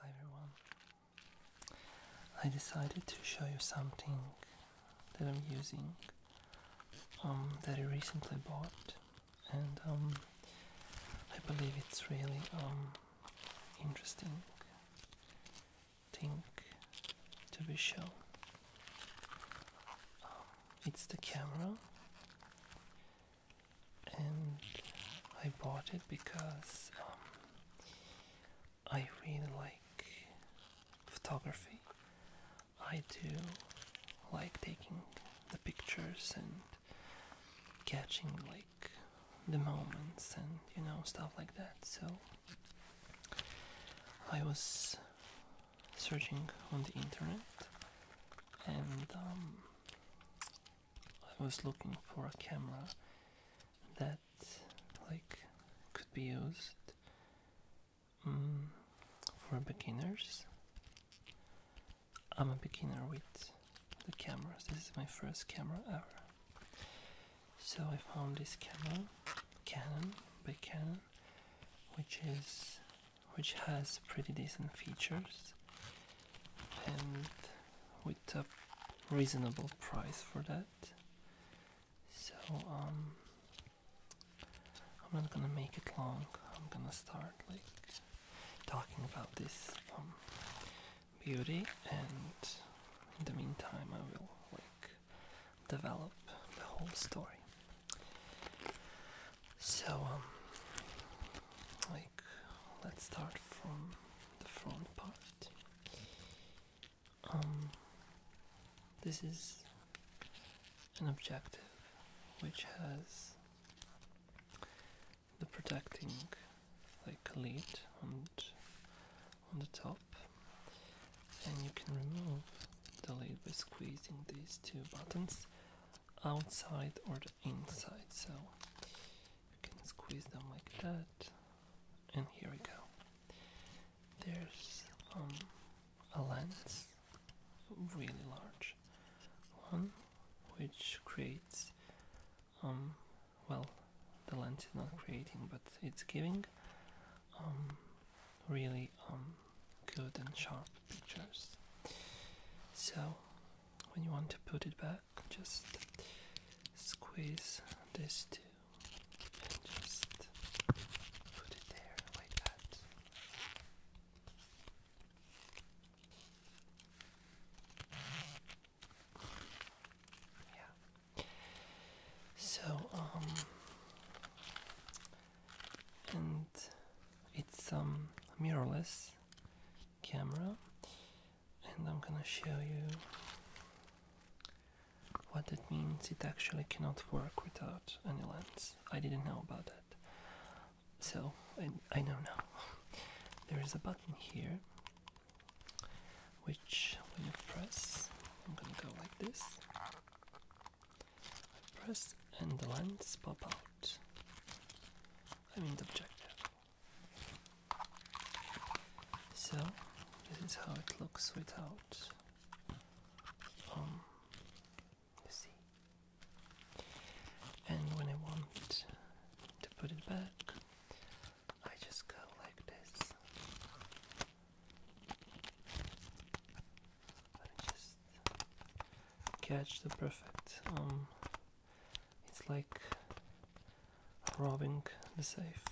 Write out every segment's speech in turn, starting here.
Hi everyone. I decided to show you something that I'm using um, that I recently bought and um, I believe it's really um, interesting thing to be shown. It's the camera and I bought it because um, I really like photography. I do like taking the pictures and catching like the moments and you know stuff like that. So I was searching on the internet and um, I was looking for a camera that like could be used mm, for beginners. I'm a beginner with the cameras. This is my first camera ever. So I found this camera, Canon by Canon, which is which has pretty decent features and with a reasonable price for that. So um, I'm not gonna make it long. I'm gonna start like talking about this um, beauty, and in the meantime, I will like develop the whole story. So um, like let's start from the front part. Um, this is an objective which has the protecting like lid on on the top, and you can remove the lid by squeezing these two buttons outside or the inside. So you can squeeze them like that. And here we go. There's um, a lens, really large one, which creates, um, well, the lens is not creating, but it's giving um, really good and sharp pictures. So when you want to put it back, just squeeze this too and just put it there like that. Yeah. So, um, and it's some um, mirrorless camera and I'm gonna show you what that means it actually cannot work without any lens. I didn't know about that. So I, I know now. There is a button here which when you press I'm gonna go like this. press and the lens pop out. I mean the objective. So this is how it looks without um you see. And when I want to put it back, I just go like this. I just catch the perfect um, it's like robbing the safe.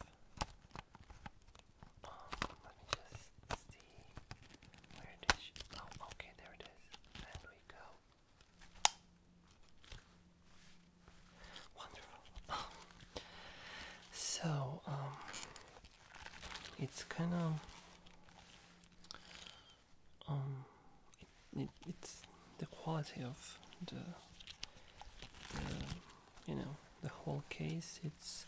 let me just see where it is. Oh, okay, there it is. And we go. Wonderful. so, um, it's kind of um, it's the quality of the, you know, the whole case. It's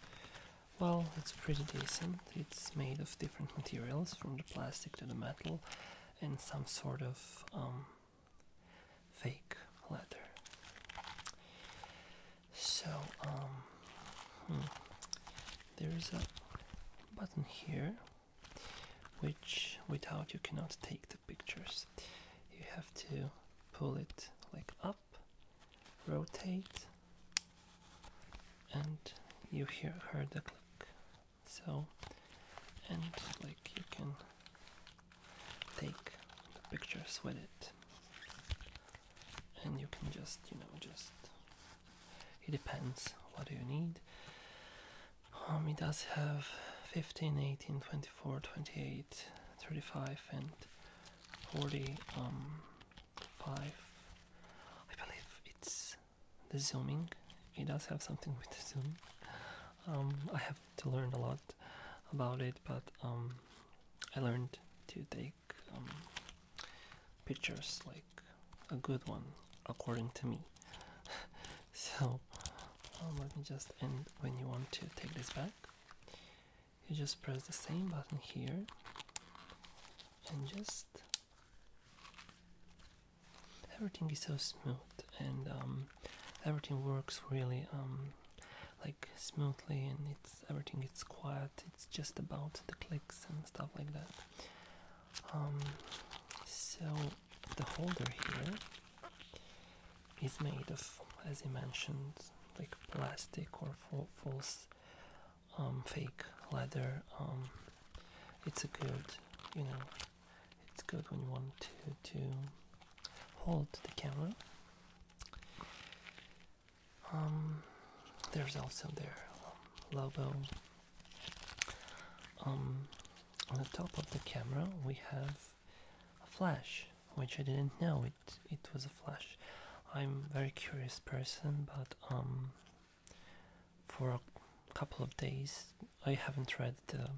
well, it's pretty decent. It's made of different materials, from the plastic to the metal, and some sort of um, fake leather. So, um, hmm, there's a button here, which without you cannot take the pictures you have to pull it like up rotate and you hear heard the click so and like you can take the pictures with it and you can just you know just it depends what do you need um, it does have 15 18 24 28 35 and 40 um, 5 I believe it's the zooming it does have something with the zoom um, I have to learn a lot about it but um, I learned to take um, pictures like a good one according to me so let me just end when you want to take this back you just press the same button here and just everything is so smooth and um, everything works really um, like smoothly and it's everything it's quiet it's just about the clicks and stuff like that um, so the holder here is made of, as I mentioned, like plastic or false um, fake leather. Um, it's a good, you know, it's good when you want to to hold the camera. Um, there's also their logo on the top of the camera we have a flash which I didn't know it it was a flash I'm a very curious person but um, for a couple of days I haven't read the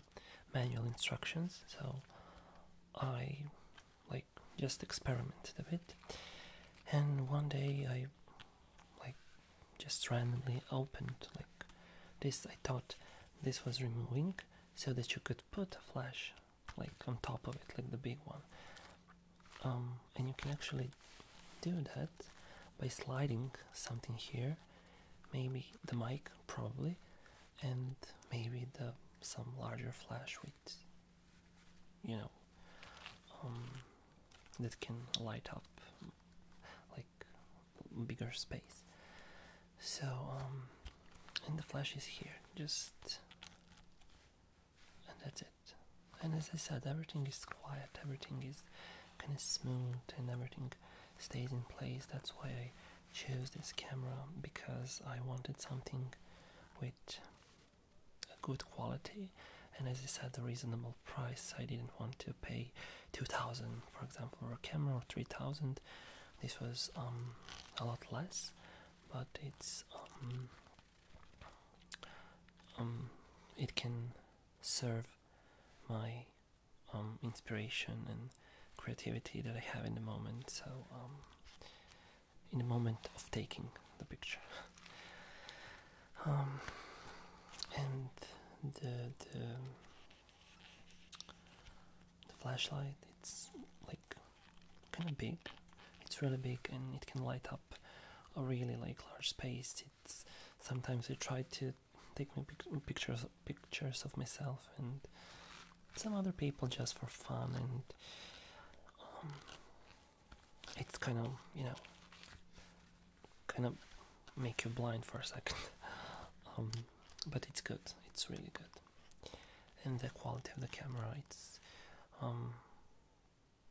manual instructions so I like just experimented a bit and one day I like just randomly opened like this I thought this was removing so that you could put a flash like on top of it like the big one um, and you can actually do that by sliding something here maybe the mic probably and maybe the some larger flash with you know um, that can light up like bigger space. So, um, and the flash is here, just, and that's it. And as I said, everything is quiet, everything is kind of smooth, and everything stays in place. That's why I chose this camera because I wanted something with a good quality. And as I said, a reasonable price. I didn't want to pay 2000 for example, for a camera, or 3000 this was um, a lot less, but it's um, um, it can serve my inspiration and creativity that I have in the moment. So in the moment of taking the picture. and the the flashlight, it's like kind of big. It's really big and it can light up a really like large space. It's sometimes I try to take my pictures pictures of myself and some other people just for fun and um, it's kind of you know kind of make you blind for a second. Um, but it's good. It's really good. And the quality of the camera, it's um,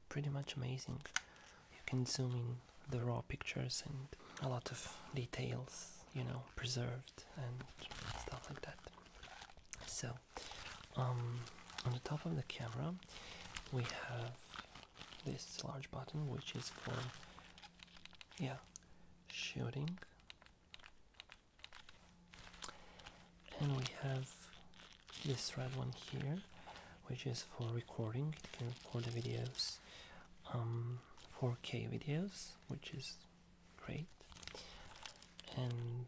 pretty much amazing. You can zoom in the raw pictures and a lot of details, you know, preserved and stuff like that. So, um, on the top of the camera, we have this large button, which is for yeah, shooting, and we have this red one here, which is for recording. You can record the videos, 4K um, videos, which is great, and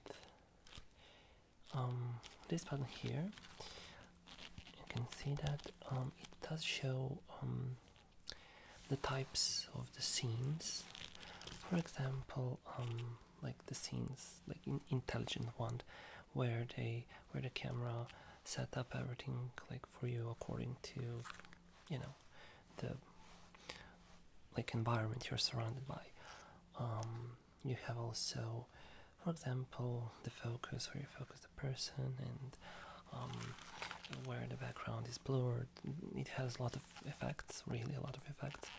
um, this button here, you can see that um, it does show the types of the scenes. For example, um, like the scenes, like intelligent one, where they where the camera set up everything like for you according to, you know, the like environment you're surrounded by. Um, you have also, for example, the focus where you focus the person and um, where the background is blurred. It has a lot of effects, really a lot of effects.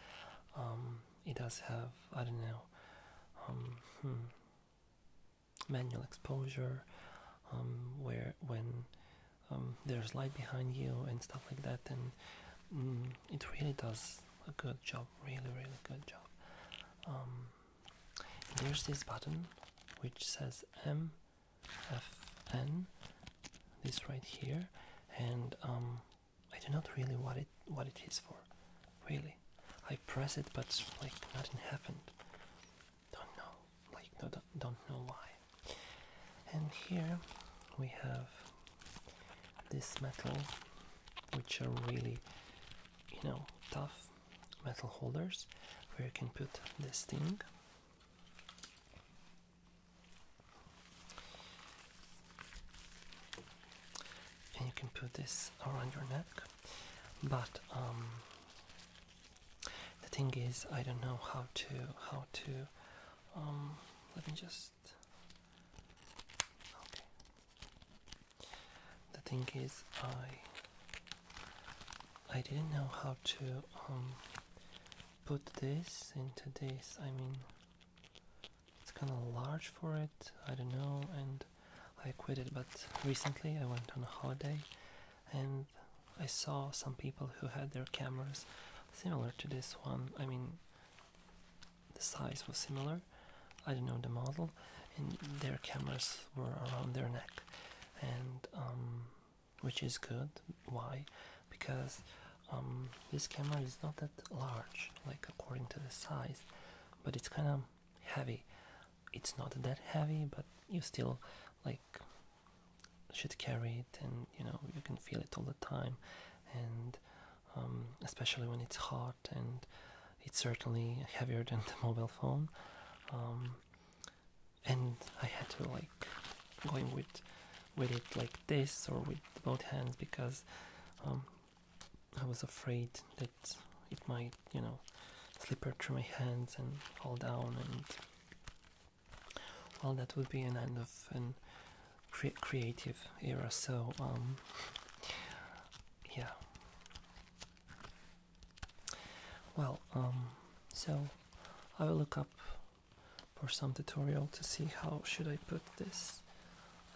Um, it does have, I don't know, um, hmm, manual exposure, where when there's light behind you and stuff like that, and mm, it really does a good job, really, really good job. there's this button which says M fn this right here and um, I do not really what it what it is for really I press it but like nothing happened don't know like no, don't know why and here we have this metal which are really you know tough metal holders where you can put this thing and you can put this around your neck, but um, the thing is, I don't know how to how to. Um, let me just. Okay. The thing is, I I didn't know how to um, put this into this. I mean, it's kind of large for it. I don't know, and I quit it. But recently, I went on a holiday, and I saw some people who had their cameras similar to this one. I mean, the size was similar. I don't know the model, and their cameras were around their neck, and um, which is good. Why? Because um, this camera is not that large, like according to the size, but it's kind of heavy. It's not that heavy, but you still like should carry it, and you know you can feel it all the time, and um, especially when it's hot, and it's certainly heavier than the mobile phone. Um, and I had to like going with with it like this or with both hands because um, I was afraid that it might you know slipper through my hands and fall down and well that would be an end of an creative era so um yeah well, um, so I will look up for some tutorial to see how should I put this.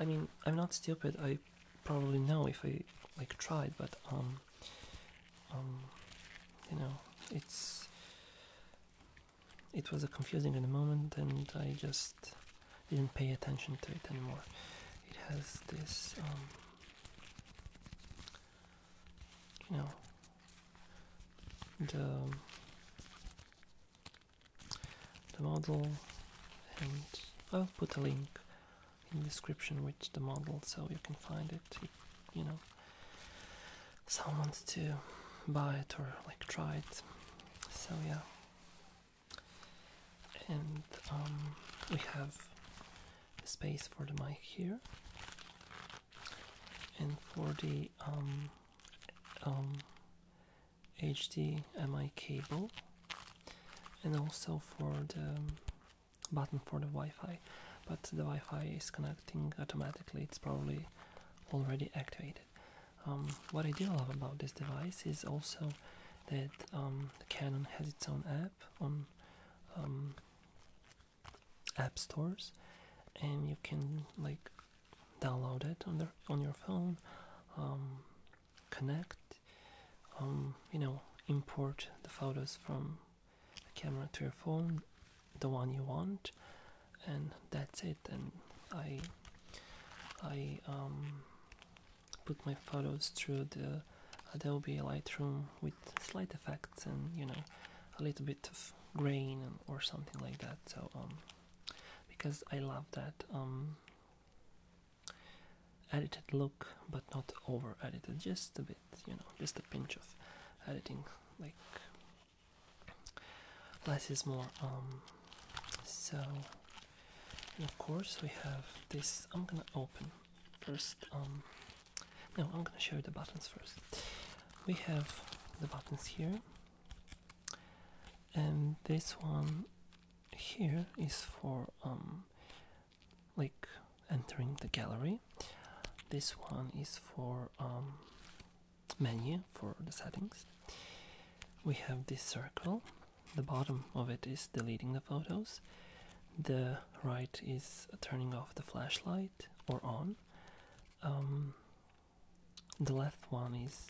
I mean, I'm not stupid. I probably know if I like tried, but um, um you know, it's it was a confusing in the moment, and I just didn't pay attention to it anymore. It has this, um, you know, the the model and I'll put a link in the description with the model so you can find it you know someone to buy it or like try it so yeah and um, we have space for the mic here and for the um, um, HDMI cable and also for the um, button for the Wi-Fi but the Wi-Fi is connecting automatically it's probably already activated what I do love about this device is also that um, Canon has its own app on app stores and you can like download it on their on your phone um, connect um, you know import the photos from the camera to your phone the one you want and that's it and I I um, put my photos through the Adobe Lightroom with slight effects and you know a little bit of grain or something like that. So um, because I love that um, edited look, but not over edited, just a bit, you know, just a pinch of editing, like less is more. Um, so of course we have this. I'm gonna open first um, now I'm gonna show you the buttons first. We have the buttons here, and this one here is for um, like entering the gallery. This one is for um, menu for the settings. We have this circle. The bottom of it is deleting the photos. The right is turning off the flashlight or on. Um, the left one is.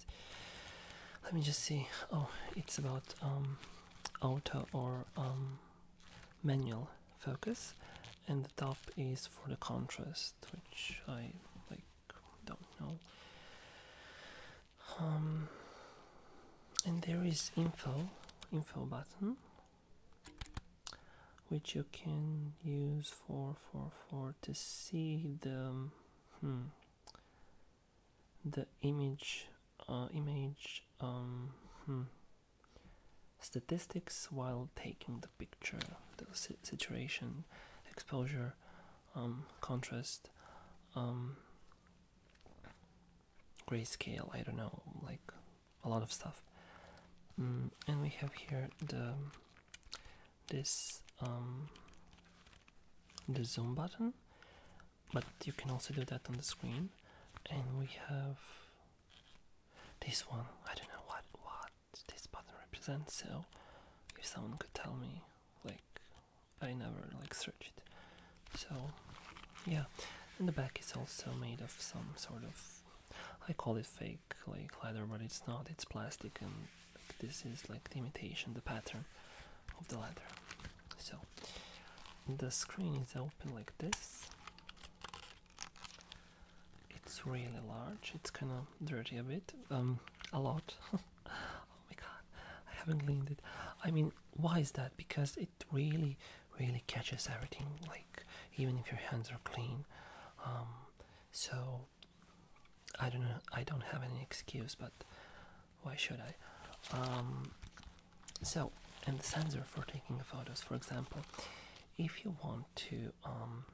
Let me just see. Oh, it's about um, auto or um, manual focus, and the top is for the contrast, which I like don't know. and there is info, info button which you can use for for for to see the hmm, the image uh, image um, hmm, statistics while taking the picture the situation exposure um, contrast um, grayscale I don't know like a lot of stuff. Mm, and we have here the this um, the zoom button, but you can also do that on the screen. And we have this one. I don't know what what this button represents. So if someone could tell me, like I never like searched it. So yeah, and the back is also made of some sort of I call it fake like leather, but it's not. It's plastic, and this is like the imitation, the pattern of the leather. So the screen is open like this. It's really large. It's kind of dirty a bit, um, a lot. oh my god, I haven't cleaned it. I mean, why is that? Because it really really catches everything like even if your hands are clean um, so I don't know I don't have any excuse but why should I um, so in the sensor for taking photos for example if you want to um,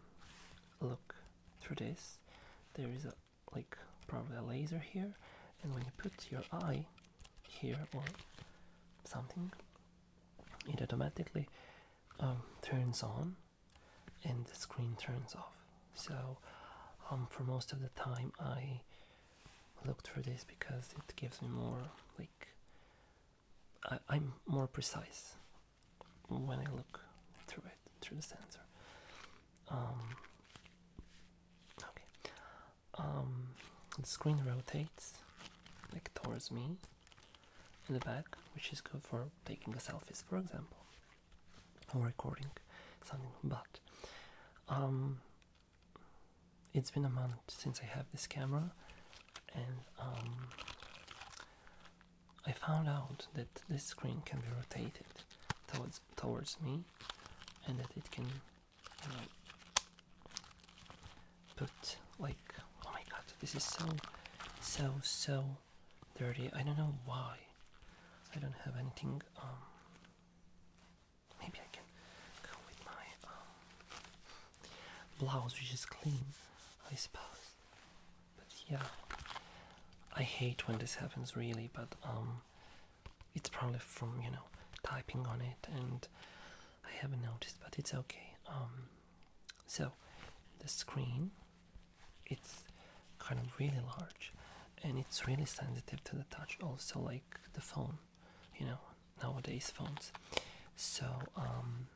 look through this there is a like probably a laser here and when you put your eye here or something it automatically um, turns on and the screen turns off. So um, for most of the time I looked for this because it gives me more like I, am more precise when I look through it through the sensor. Um, okay, um, the screen rotates like towards me in the back, which is good for taking a selfies, for example, or recording something. But um, it's been a month since I have this camera, and um, I found out that this screen can be rotated towards towards me, and that it can but like, oh my god, this is so, so, so dirty. I don't know why. I don't have anything. Um, maybe I can go with my um, blouse, which is clean, I suppose. But yeah, I hate when this happens, really. But um, it's probably from you know typing on it, and I haven't noticed, but it's okay. Um, so the screen it's kind of really large and it's really sensitive to the touch also like the phone you know nowadays phones so um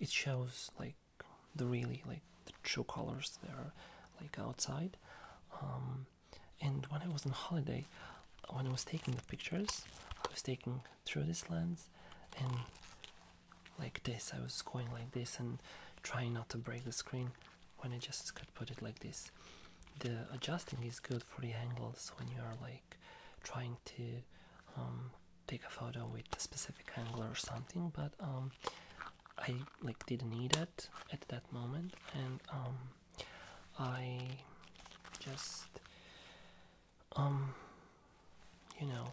it shows like the really like the true colors there, like outside um and when I was on holiday when I was taking the pictures I was taking through this lens and like this I was going like this and trying not to break the screen when I just could put it like this. The adjusting is good for the angles when you are like trying to um, take a photo with a specific angle or something but um, I like didn't need it at that moment and um, I just um, you know,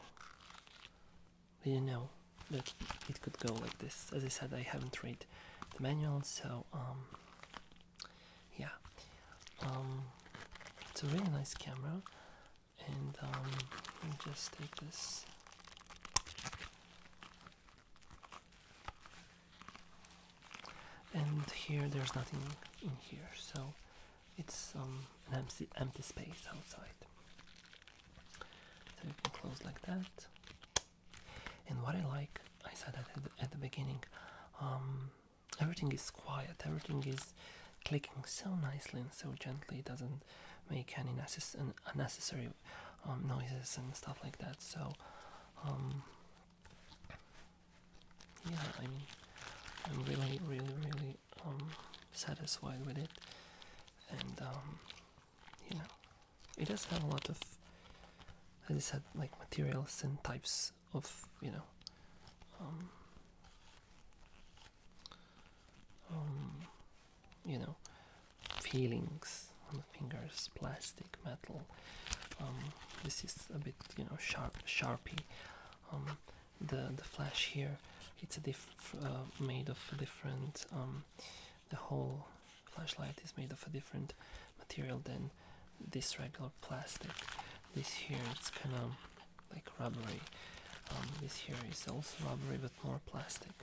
you know that it could go like this. As I said, I haven't read the manual, so um, yeah, um, it's a really nice camera, and um, let me just take this. And here, there's nothing in here, so it's um, an empty, empty space outside. So you can close like that. And what I like, I said that at the, beginning, um, everything is quiet, everything is clicking so nicely and so gently, it doesn't make any necess unnecessary um, noises and stuff like that. So yeah, I mean, I'm really, really, really um, satisfied with it, and um, you know, it does have a lot of, as I said, like materials and types of, you know, um, you know, feelings on the fingers, plastic, metal. this is a bit, you know, sharp, sharpie the the flash here it's a diff uh, made of different um, the whole flashlight is made of a different material than this regular plastic this here it's kind of like rubbery um, this here is also rubbery but more plastic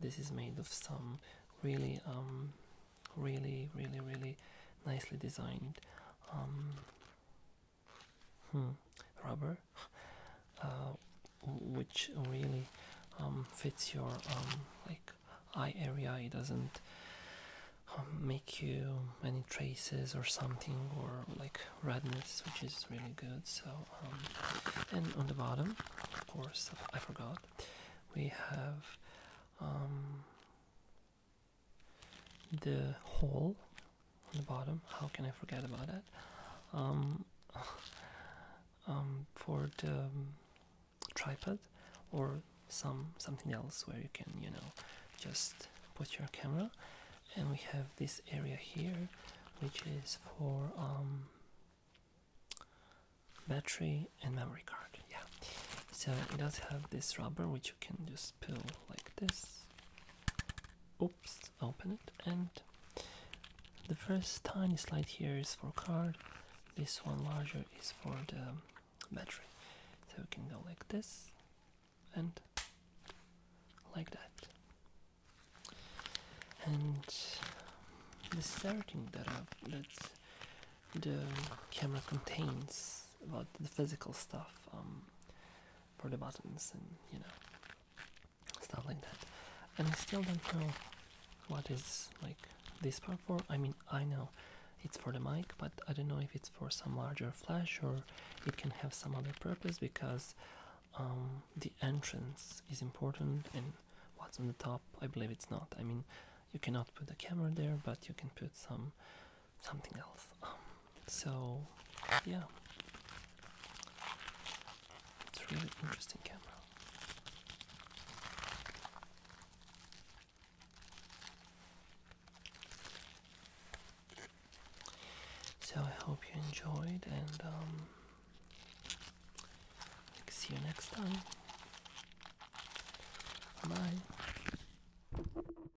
this is made of some really um, really really really nicely designed um, hmm, rubber, uh, which really um, fits your um, like eye area. It doesn't um, make you any traces or something or like redness, which is really good. So, and on the bottom, of course, I forgot, we have the hole on the bottom. How can I forget about that? Um, um, for the um, tripod or some something else where you can you know just put your camera and we have this area here which is for um, battery and memory card yeah so it does have this rubber which you can just pull like this oops open it and the first tiny slide here is for card this one larger is for the battery so we can go like this and like that and the third thing that, i that the camera contains about the physical stuff um, for the buttons and you know stuff like that. And I still don't know what is like this part for. I mean, I know it's for the mic, but I don't know if it's for some larger flash or it can have some other purpose because um, the entrance is important and what's on the top, I believe it's not. I mean, you cannot put the camera there, but you can put some something else. Um, so, yeah, it's really interesting camera. So I hope you enjoyed, and um, see you next time. Bye.